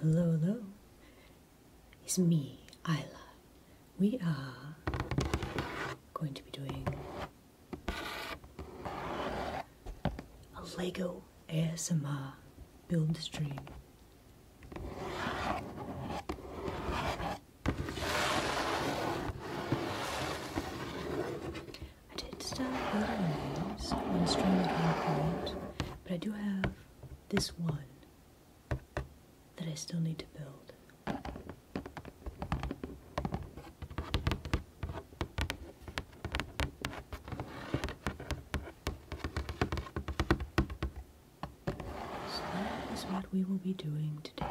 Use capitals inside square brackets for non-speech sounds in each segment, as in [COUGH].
Hello, hello. It's me, Isla. We are going to be doing a Lego ASMR build stream. I did start building names on string at one point, but I do have this one that I still need to build. So that is what we will be doing today.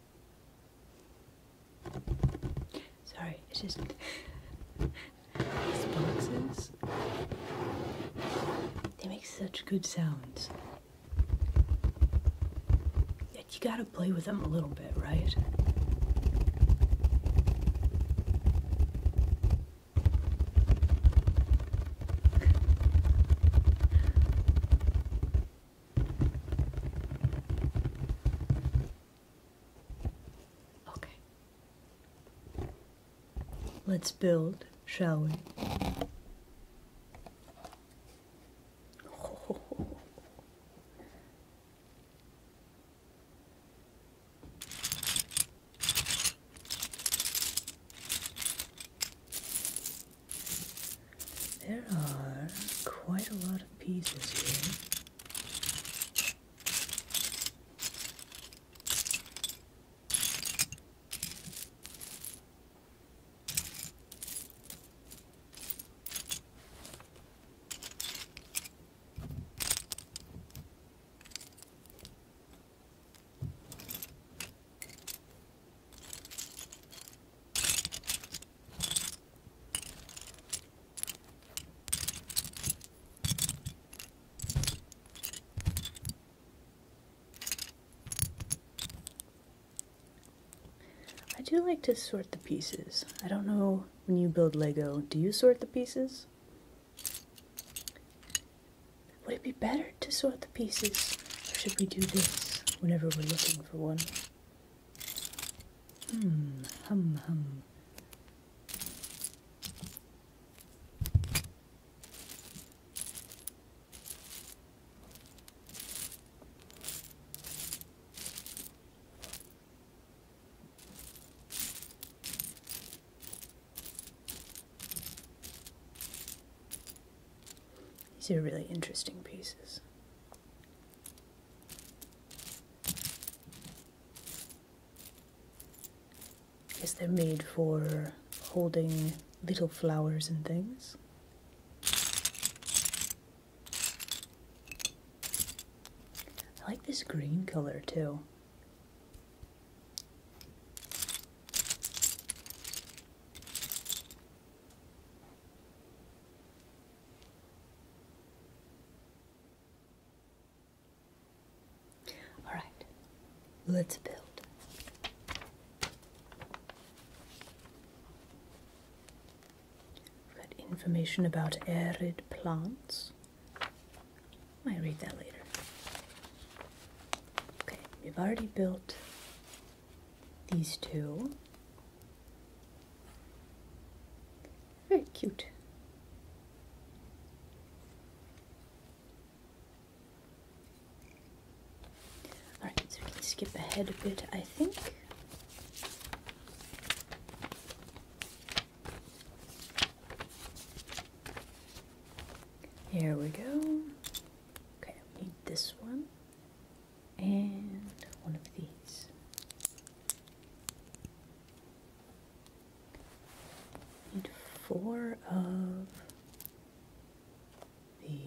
Sorry, it's just boxes. They make such good sounds. Yet you gotta play with them a little bit, right? Okay. Let's build, shall we? [LAUGHS] There are quite a lot of pieces here. I do like to sort the pieces. I don't know when you build Lego, do you sort the pieces? Would it be better to sort the pieces, or should we do this whenever we're looking for one? Hmm, hum, hum. These are really interesting pieces. Guess they're made for holding little flowers and things. I like this green color too. All right, let's build. We've got information about arid plants. I might read that later. Okay, we've already built these two. Very cute. Alright, so we can skip ahead a bit, I think. Here we go. Okay, need this one and one of these. Need four of these.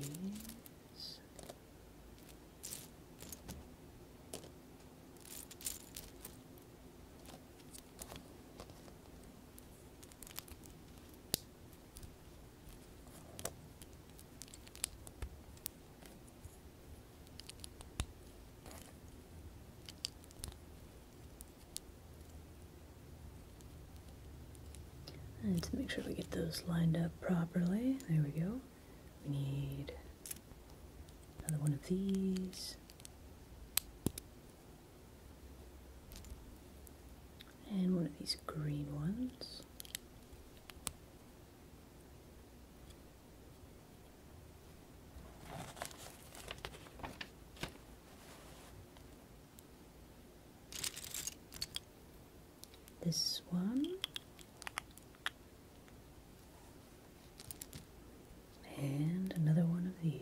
And to make sure we get those lined up properly, there we go. We need another one of these. And one of these green ones. This one. And another one of these.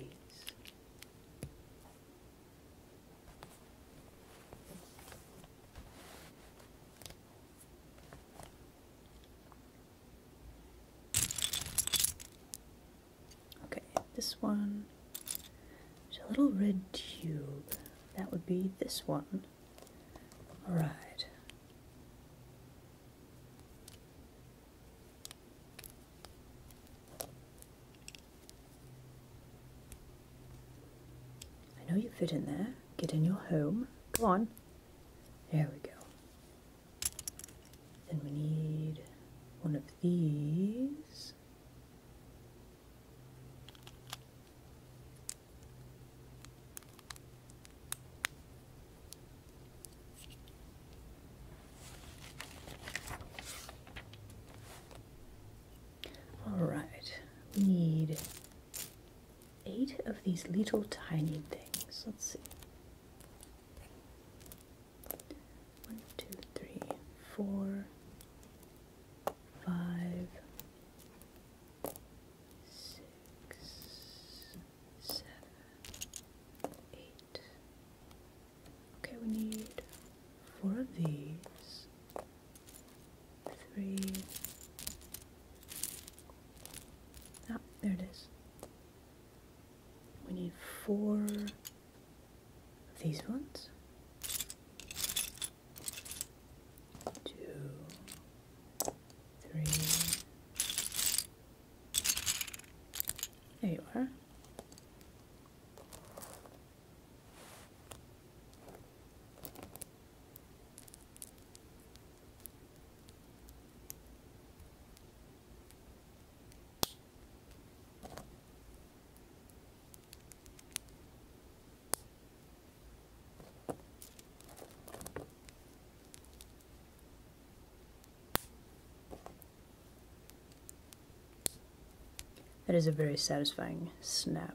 Okay, this one. There's a little red tube. That would be this one. Alright. I know you fit in there. Get in your home. Go on. There we go. Then we need one of these. All right, we need eight of these little tiny things. Let's see. One, two, three, four, five, six, seven, eight. Okay, we need four of these three. Ah, there it is. We need four of these ones. Two, three. There you are. That is a very satisfying snap.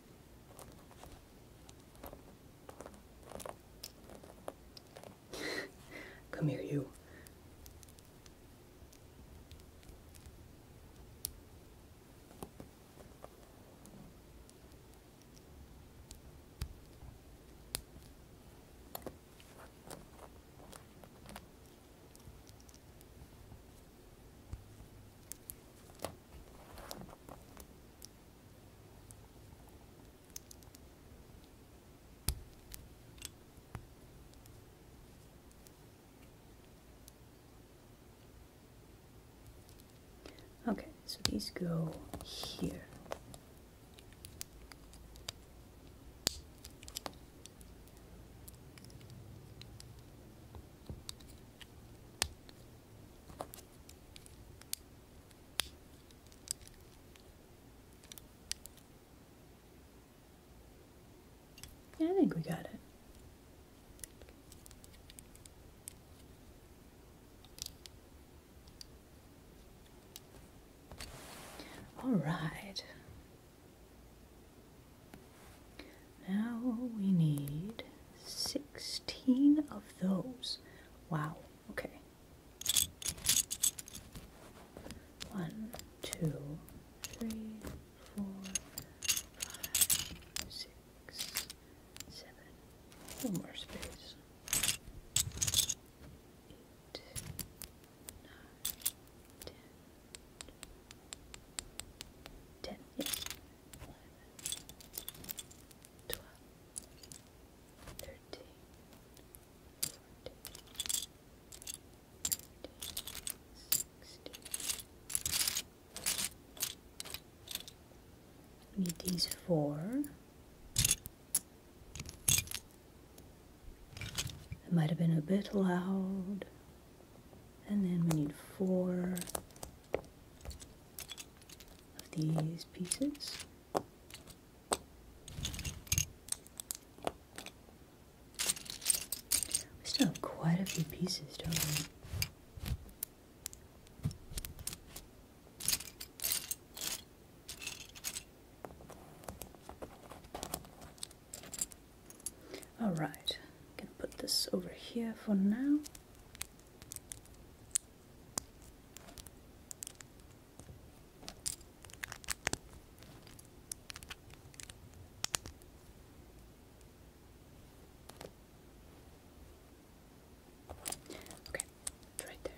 [LAUGHS] Come here, you. Okay, so these go here. Yeah, I think we got it. All right. Now we need 16 of those. Wow, okay. One, two, three, four, five, six, seven. One more space. Eight, nine, yes. We need these four. It might have been a bit loud. And then we need four of these pieces. We still have quite a few pieces, don't we? All right, I'm gonna put this over here for now. Okay, it's right there. Okay.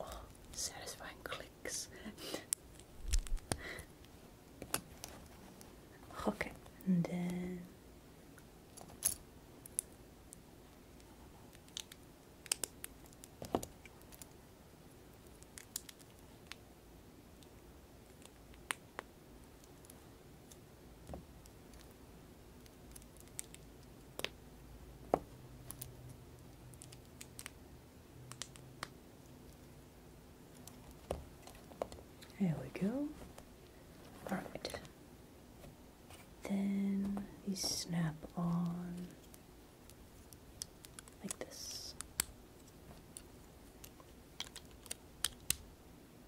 Oh, satisfying clicks. [LAUGHS] okay, and then. There we go. Alright. Then these snap on like this.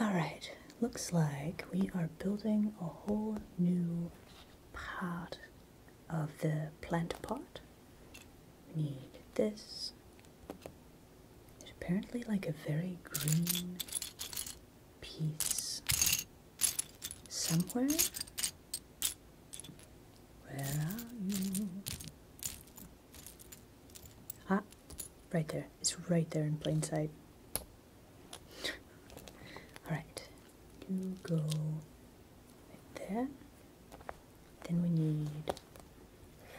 All right, looks like we are building a whole new part of the plant pot. need this. There's apparently like a very green piece somewhere. Where are you? Ah, right there. It's right there in plain sight. Alright, you go right there. Then we need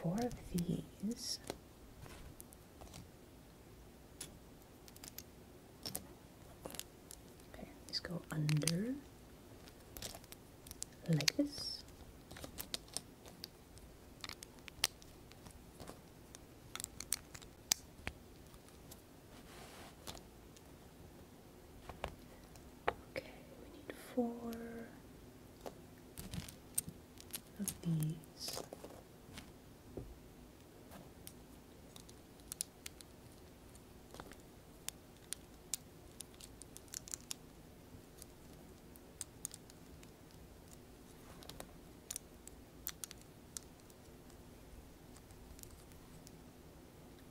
four of these. Okay, let's go under like this. Okay, we need four of these.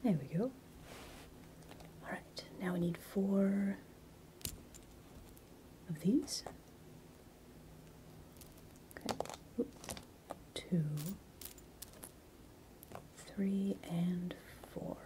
There we go. All right, now we need four of these. Okay two, three, and four.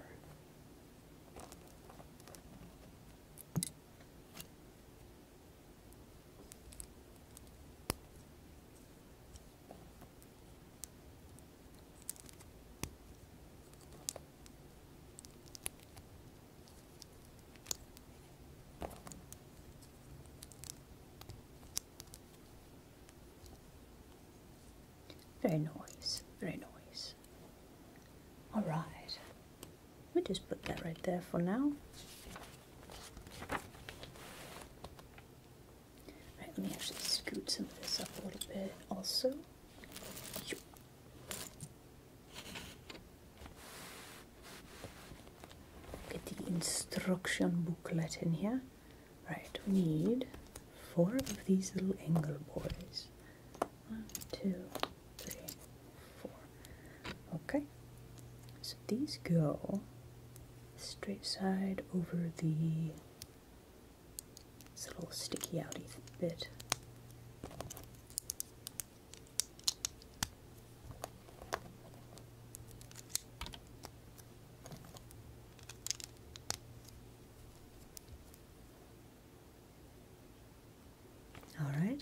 Very nice, very nice. Alright, we just put that right there for now. Right, let me actually scoot some of this up a little bit also. Get the instruction booklet in here. Right, we need four of these little angle boys. One, two, three, four. Okay, so these go straight side over the little sticky outy bit. All right.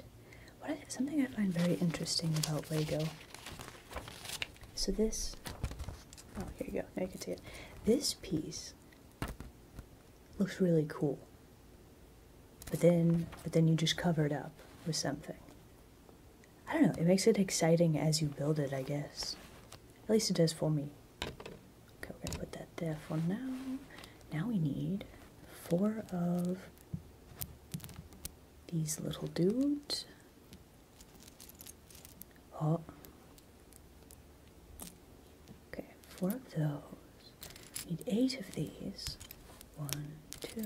What something I find very interesting about Lego. So this. Oh, here you go. Now you can see it. This piece looks really cool. But then, but then you just cover it up with something. I don't know, it makes it exciting as you build it, I guess. At least it does for me. Okay, we're gonna put that there for now. Now we need four of these little dudes. Oh. Okay, four of those. need eight of these. One, two,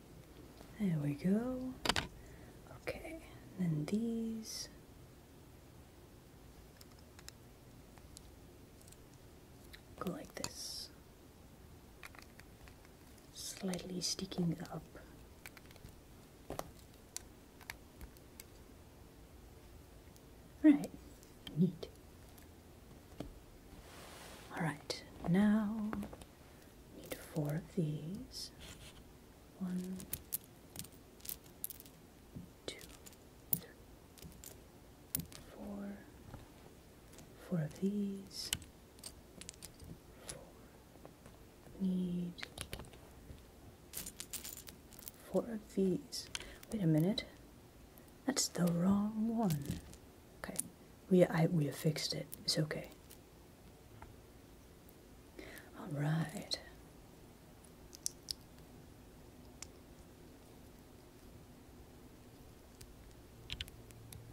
There we go. Okay, then these. Go like this. Slightly sticking up. Right, neat. Alright, now Need four of these. One, two, three, four. Four of these. Four. Need four of these. Wait a minute. That's the wrong one. Okay, we I we have fixed it. It's okay. All right.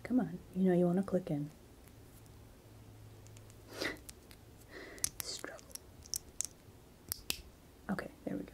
Come on, you know you want to click in. [LAUGHS] Struggle. Okay, there we go.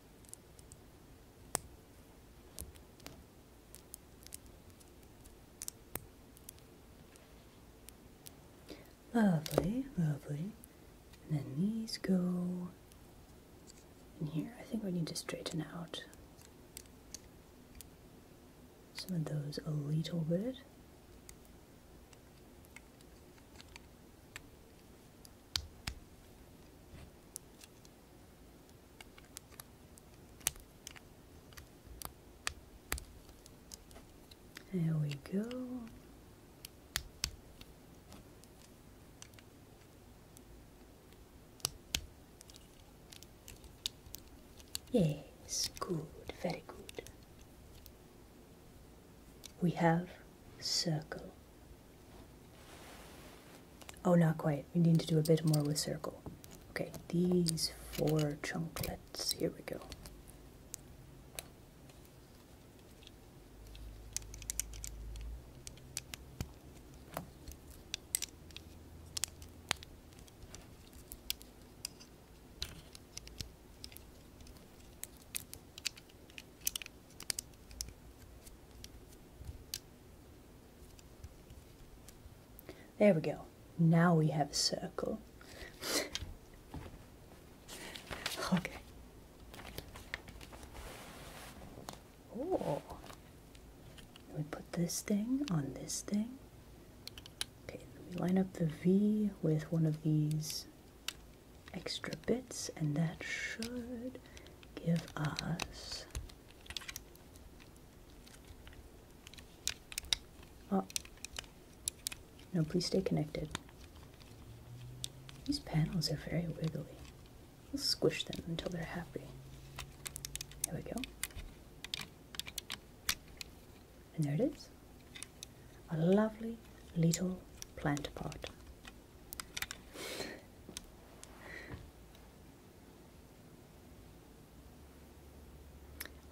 Lovely, lovely. And then these go in here. I think we need to straighten out some of those a little bit. There we go. Yes, good, very good. We have circle. Oh, not quite. We need to do a bit more with circle. Okay, these four chunklets. Here we go. There we go. Now we have a circle. [LAUGHS] okay. Oh. We put this thing on this thing. Okay, we line up the V with one of these extra bits, and that should give us oh no please stay connected these panels are very wiggly we'll squish them until they're happy there we go and there it is a lovely little plant pot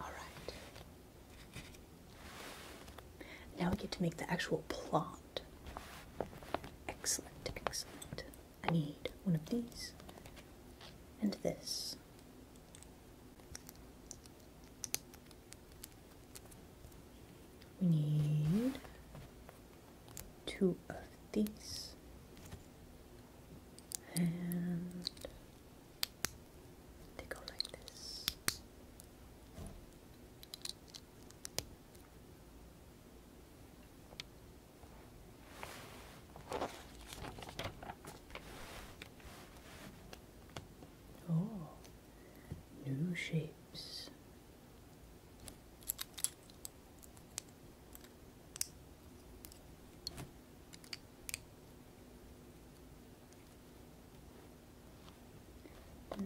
all right. Now we get to make the actual plot. Excellent, excellent. I need one of these and this. We need two of these and they go like this. Oh, new shapes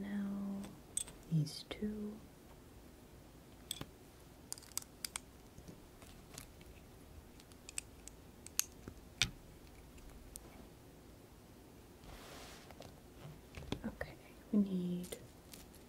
now these two. Okay, we need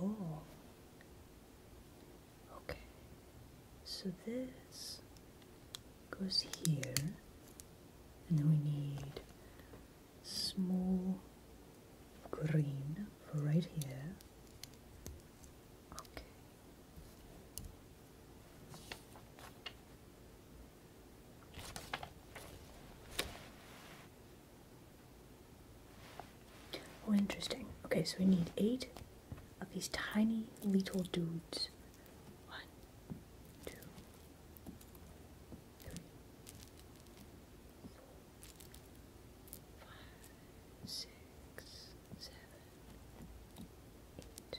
Oh, okay. So this goes here, and then we need small green right here. Okay. Oh, interesting. Okay, so we need eight of these tiny little dudes. One, two, three, four, five, six, seven, eight.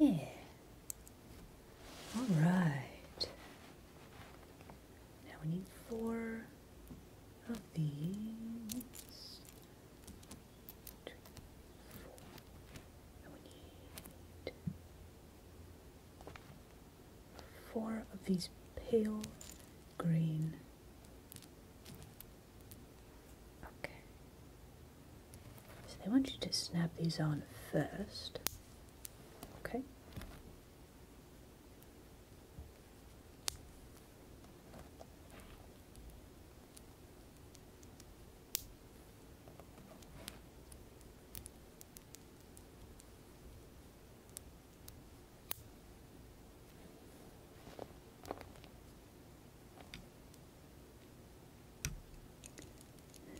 Yeah. All right. Now we need four of these. four. Now we need four of these pale green Okay. So they want you to snap these on first. Okay.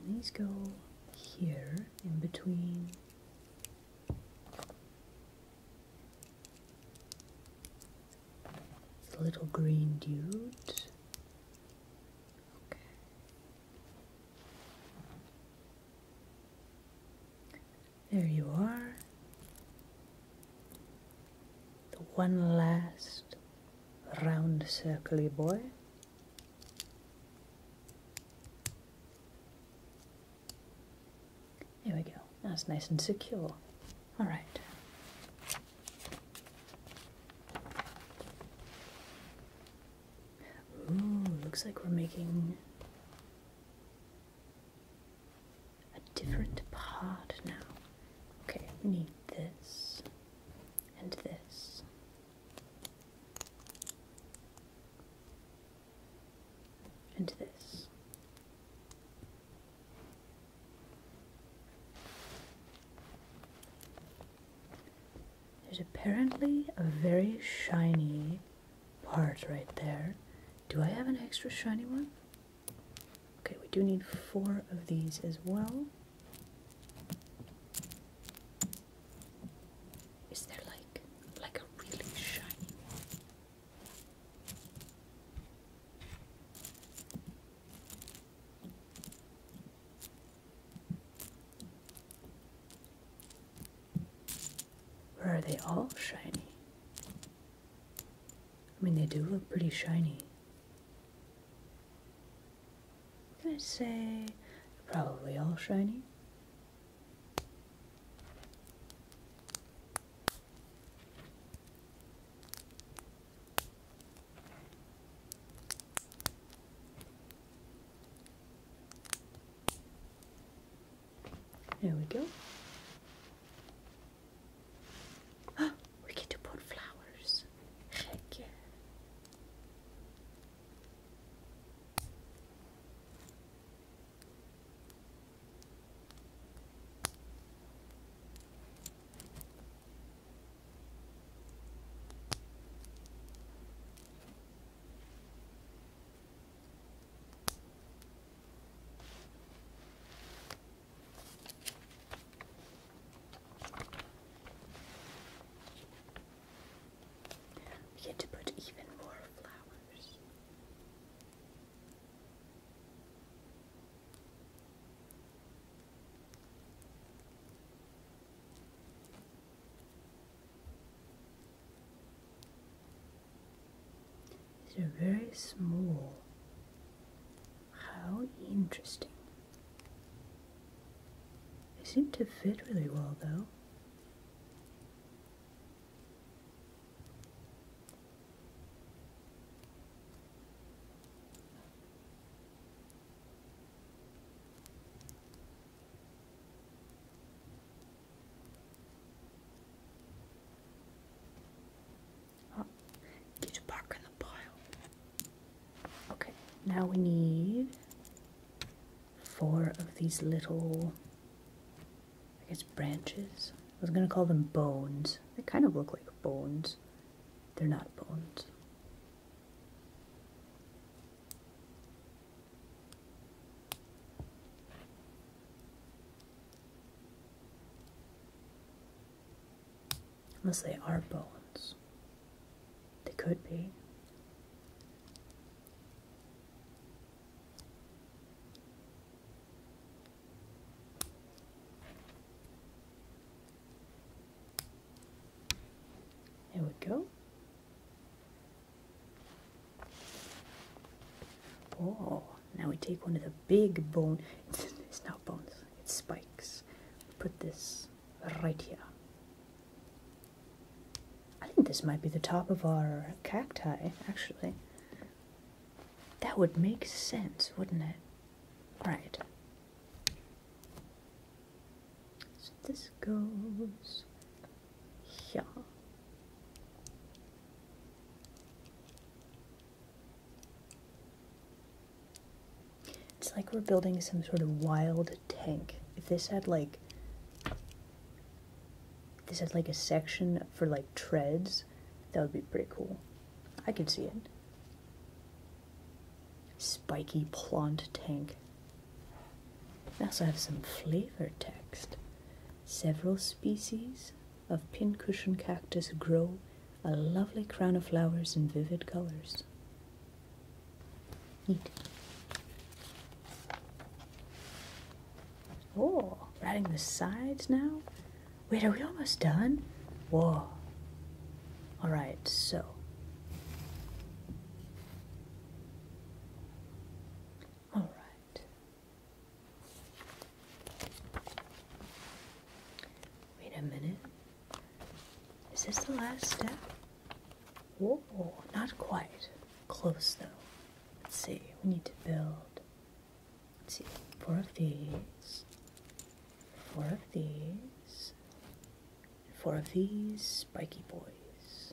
And these go here in between the little green dude. Okay. There you are. The one last round circly boy. There we go. That's nice and secure. All right. Ooh, looks like we're making a different part now. Okay, need this and this. And this. There's apparently a very shiny part right there. Do I have an extra shiny one? Okay, we do need four of these as well. Is there like like a really shiny one? are they all shiny? I mean, they do look pretty shiny. I'm gonna say probably all shiny. There we go. [GASPS] we get to put flowers. Gek. We get to put even more flowers. They're very small. How interesting. They seem to fit really well though get it back in the pile. Okay, now we need four of these little, I guess, branches. I was gonna call them bones. They kind of look like bones. They're not bones. Unless they are bones. They could be. There we go. Oh, now we take one of the big bone. It's, not bones, it's spikes. Put this right here. I think this might be the top of our cacti, actually. That would make sense, wouldn't it? Right. So this goes here. It's like we're building some sort of wild tank. If this had like this had like a section for like treads, that would be pretty cool. I could see it. Spiky plant tank. I also have some flavor text. Several species of pincushion cactus grow a lovely crown of flowers in vivid colors. Oh, we the sides now? Wait, are we almost done? Whoa. Alright, so. Alright. Wait a minute. Is this the last step? Whoa, not quite. Close though. Let's see, we need to build. Let's see, four of these, four of these, four of these spiky boys.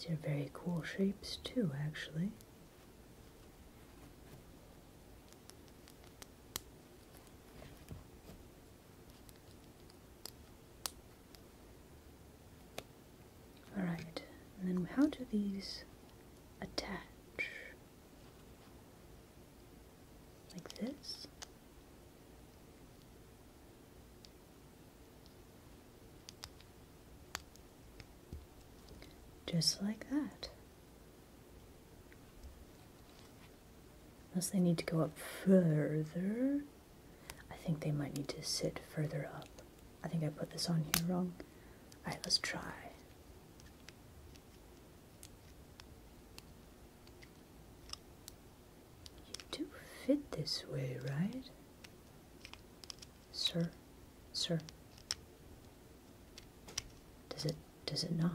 These are very cool shapes too, actually. Alright, and then how do these attach? Like this. Just like that. Unless they need to go up further. I think they might need to sit further up. I think I put this on here wrong. Alright, let's try. You do fit this way, right? Sir, sir. Does it, does it not?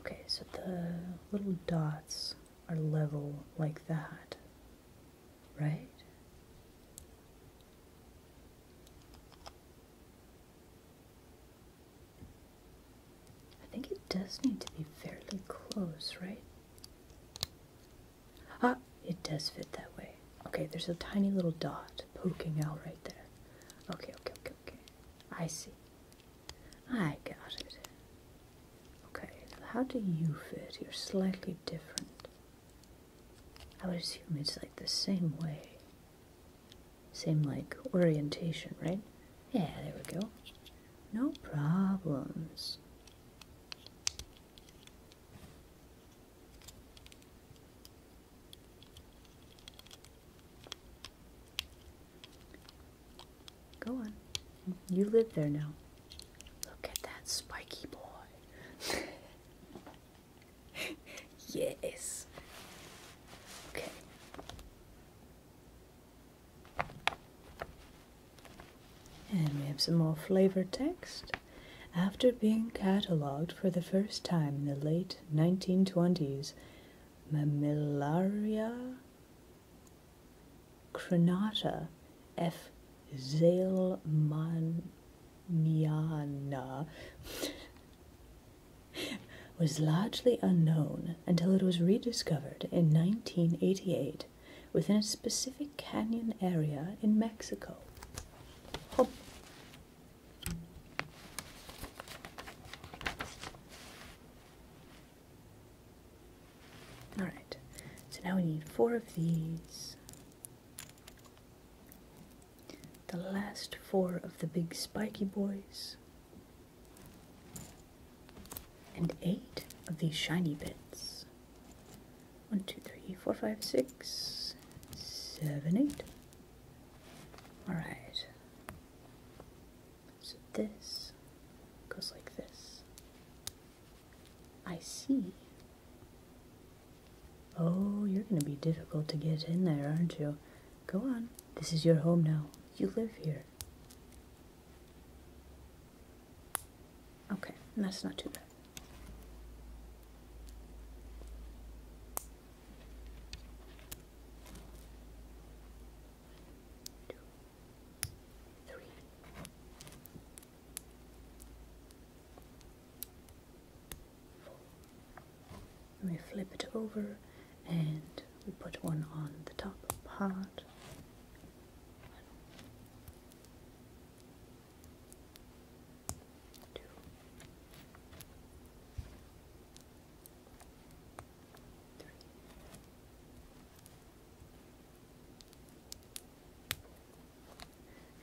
Okay, so the little dots are level like that, right? I think it does need to be fairly close, right? Ah, it does fit that way. Okay, there's a tiny little dot poking out right there. Okay, okay, okay, okay. I see. I got it. Okay, how do you fit? You're slightly different. I would assume it's like the same way. Same like orientation, right? Yeah, there we go. No problems. Go on. You live there now. Look at that spiky boy. [LAUGHS] yes. Okay. And we have some more flavor text. After being catalogued for the first time in the late 1920s, Mammillaria Crenata F. Zelmaniana [LAUGHS] was largely unknown until it was rediscovered in 1988 within a specific canyon area in Mexico. Alright, so now we need four of these. The last four of the big spiky boys. And eight of these shiny bits. One, two, three, four, five, six, seven, eight. Alright. So this goes like this. I see. Oh, you're going to be difficult to get in there, aren't you? Go on. This is your home now. You live here. Okay, that's not too bad three. Four. we flip it over and we put one on the top part. Two.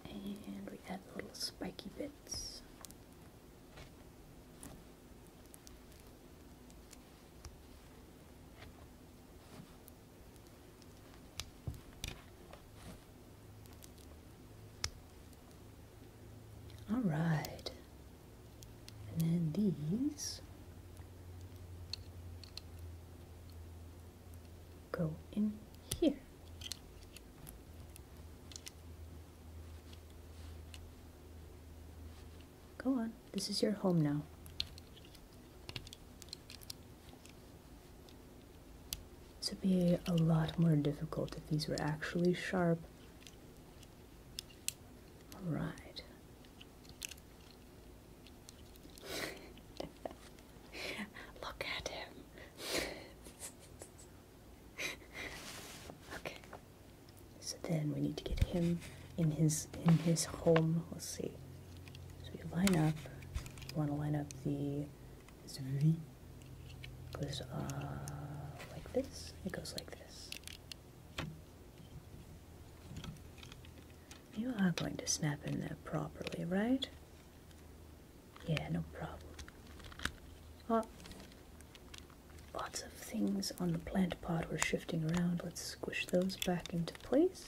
And we add little spiky bits. All right, and then these go in here. Go on, this is your home now. This would be a lot more difficult if these were actually sharp. Alright. [LAUGHS] Look at him. [LAUGHS] okay. So then we need to get him in his in his home. Let's see. So you line up. You want to line up the his V. Goes uh like this. It goes like this. You are going to snap in there properly, right? Yeah, no problem. Oh, lots of things on the plant pot were shifting around. Let's squish those back into place.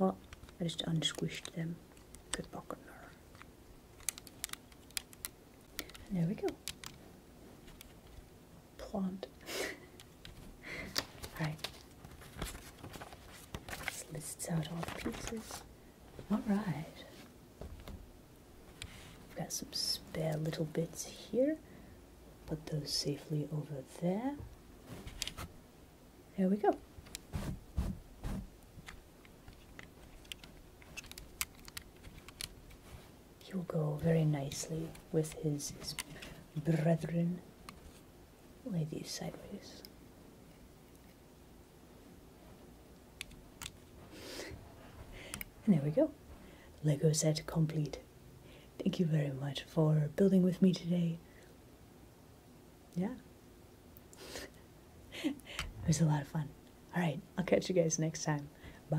Oh, I just unsquished them. Good pocket. There we go plant. Alright. [LAUGHS] This lists out all the pieces. Alright. We've got some spare little bits here. Put those safely over there. There we go he will go very nicely with his, brethren. ladies. sideways. And there we go. Lego set complete. Thank you very much for building with me today. Yeah. [LAUGHS] it was a lot of fun. All right, I'll catch you guys next time. Bye.